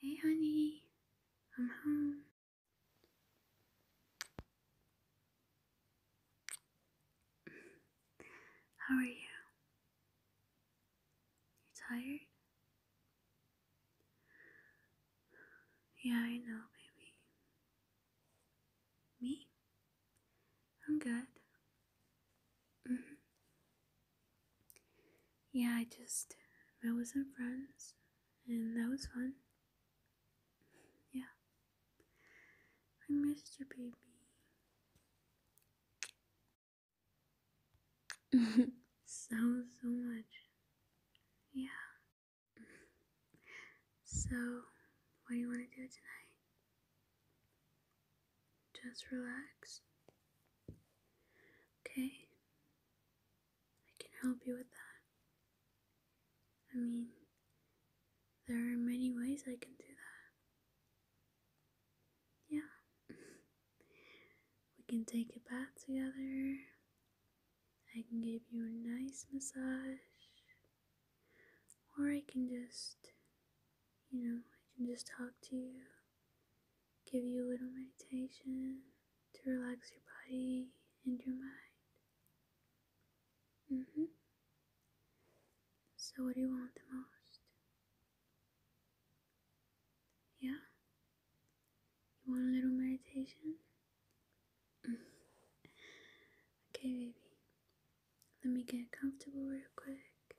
Hey, honey, I'm home. How are you? You tired? Yeah, I know, baby. Me? I'm good. Mm -hmm yeah, I just met with some friends, and that was fun. Yeah, I missed your baby so so much. Yeah. So, what do you want to do tonight? Just relax. Okay? I can help you with that. I mean, there are many ways I can do that. Yeah. we can take a bath together. I can give you a nice massage. Or I can just, you know, I can just talk to you give you a little meditation to relax your body and your mind. Mm hmm. So, what do you want the most? Yeah? You want a little meditation? okay, baby. Let me get comfortable real quick. Alright.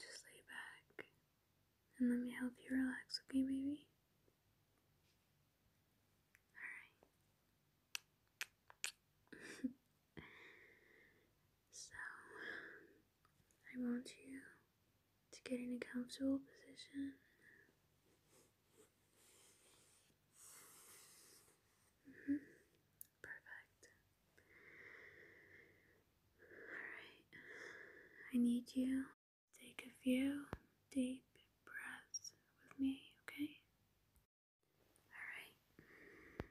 Just lay back and let me help you relax, okay, baby? Alright. so, I want you to get in a comfortable position. Mm-hmm. Perfect. Alright, I need you take a few deep breaths with me, okay? Alright.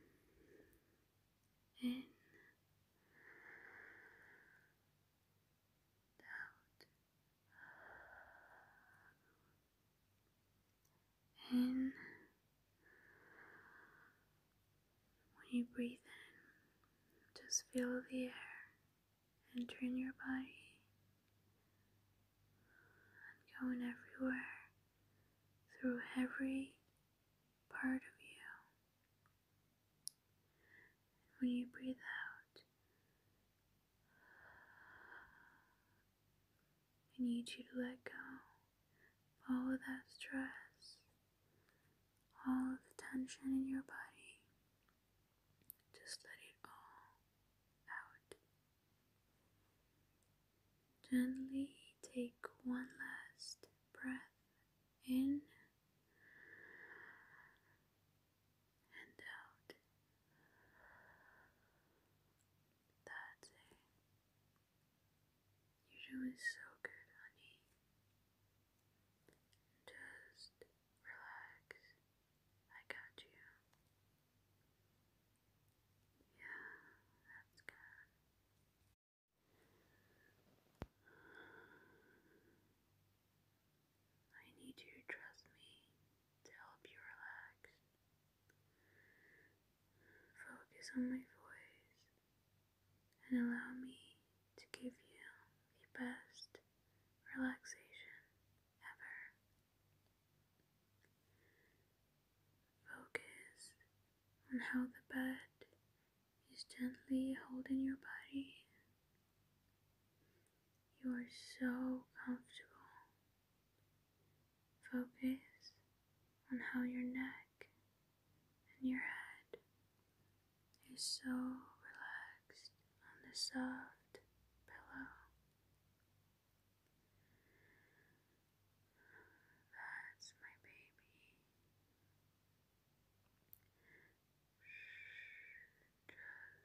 In. Out in. When you breathe in, just feel the air entering your body and going everywhere through every part of you. And when you breathe out, I need you to let go of all of that stress, all of the tension in your body. Just let it all out. Gently take one last breath in. and out. That's it. You're doing so good, honey. Just relax. I got you. Yeah, that's good. I need you to trust me to help you relax. Focus on my voice and allow me to give you the best relaxation ever. Focus on how the bed is gently holding your body. You are so comfortable Focus on how your neck and your head is so relaxed on the soft pillow that's my baby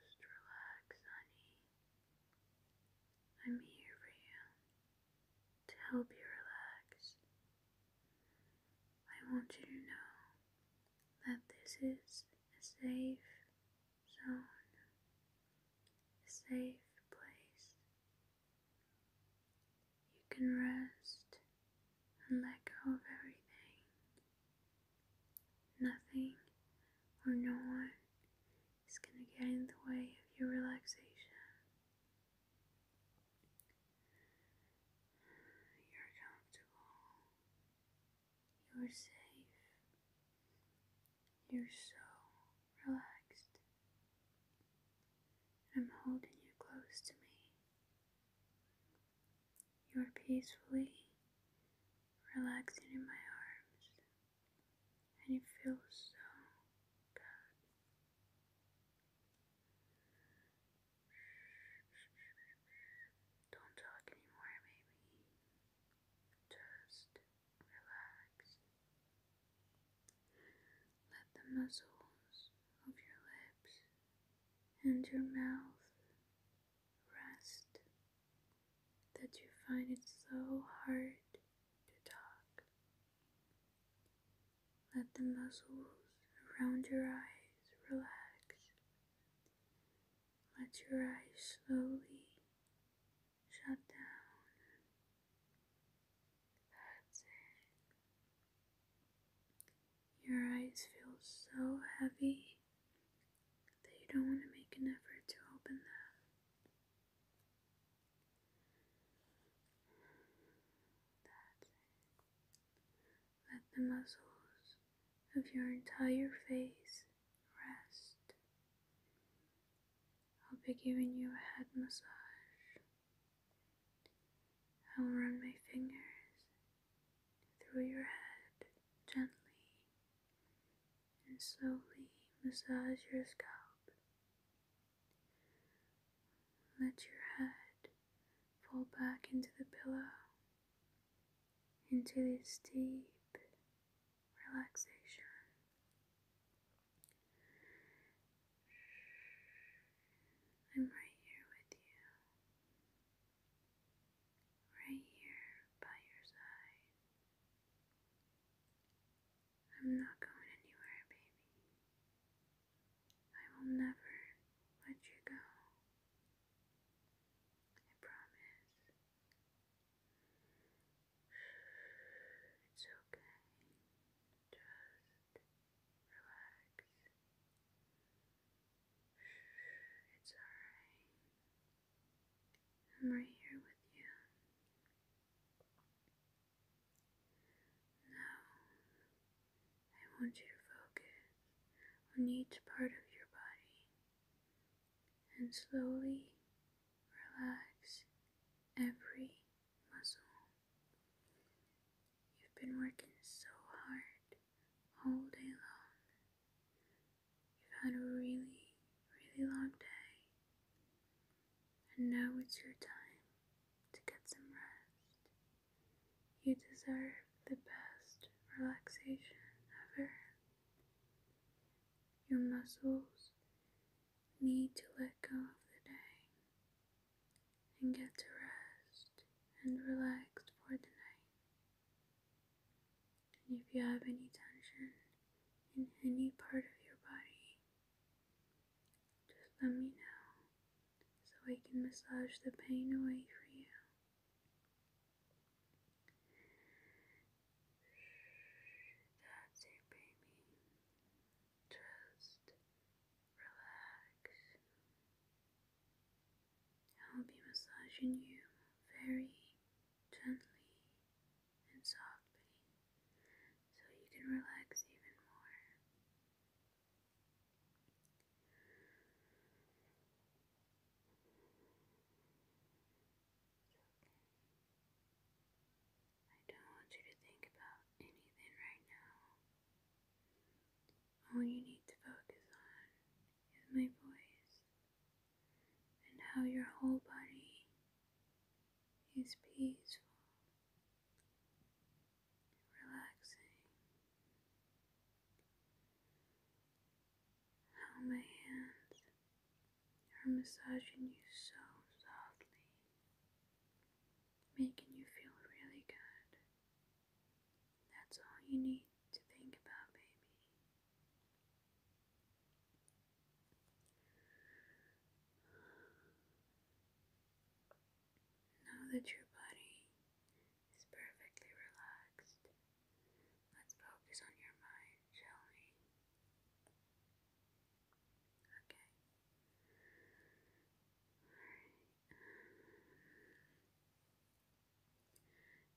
just relax honey I'm here for you to help you relax. I want you to know that this is a safe zone, a safe place. You can rest and let go of everything. Nothing or no one it's going to get in the way of your relaxation. You're comfortable. You're safe. You're so relaxed. I'm holding you close to me. You're peacefully relaxing in my arms, and it feels so good. Don't talk anymore, maybe. Just relax. Let the muscles of your lips and your mouth rest that you find it so hard to talk. Let the muscles around your eyes relax. Let your eyes slowly shut down. That's it. Your eyes feel so heavy that you don't want to make an effort to open them. That's Let the muscles of your entire face rest. I'll be giving you a head massage. I'll run my fingers through your head gently and slowly massage your scalp. Let your head fall back into the pillow, into this deep relaxation. I'm right here with you right here by your side. I'm not going anywhere, baby. I will never let you go. I promise. It's okay. Just relax. It's alright. I'm right here with you. Now, I want you to focus on each part of your body and slowly relax every muscle. You've been working so hard all day long. You've had a really, really long day. And now it's your time to get some rest. You deserve the best relaxation ever. Your muscles need to let go of the day and get to rest and relaxed for the night. And if you have any tension in any part of your body, just let me know so I can massage the pain away for you. That's it, baby. Trust relax. I'll be massaging you very gently and softly so you can relax even more. It's okay. I don't want you to think about anything right now. All you need to focus on is my voice and how your whole body is peaceful, relaxing, how my hands are massaging you so softly making you feel really good. That's all you need to think about, baby. Know that your body is perfectly relaxed. Let's focus on your mind, shall we? Okay. Alright.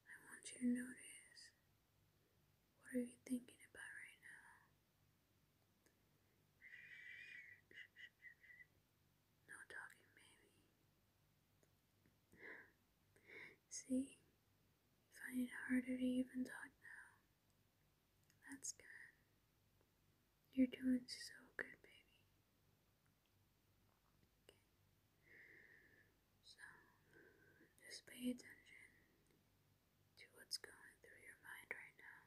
I want you to notice what are you thinking about right now? No talking, baby. See? find it harder to even talk now. That's good. You're doing so good, baby. So, just pay attention to what's going through your mind right now.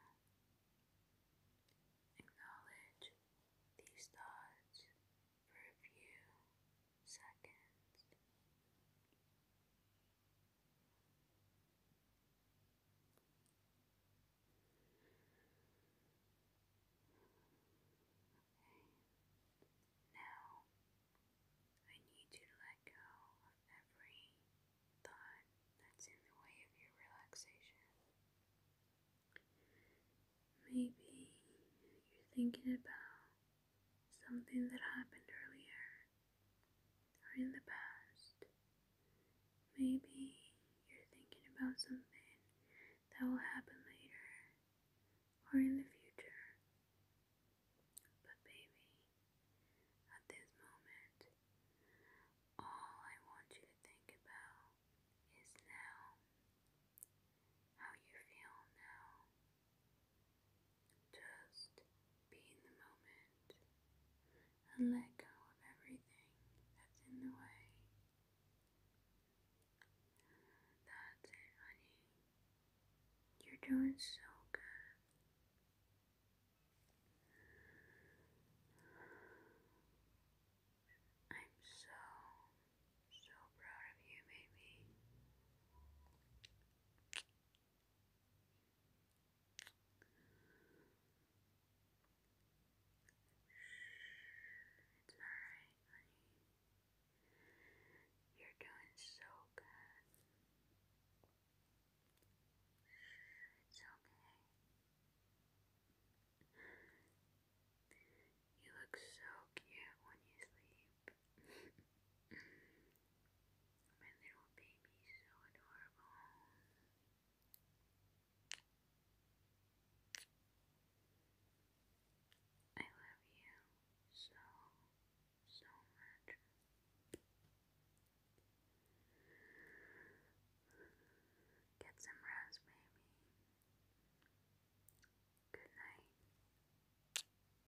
Acknowledge these thoughts for a few seconds. Now I need you to let go of every thought that's in the way of your relaxation. Maybe you're thinking about something that happened earlier or in the past. Maybe you're thinking about something that will happen later or in the future. But, baby, at this moment, all I want you to think about is now. How you feel now. Just be in the moment and let go of everything that's in the way. That's it, honey. You're doing so good. I'm so, so proud of you, baby. It's alright, honey. You're doing so good. It's okay. You look so cute when you sleep. My little baby so adorable. I love you so, so much. Get some rest, baby. Good night.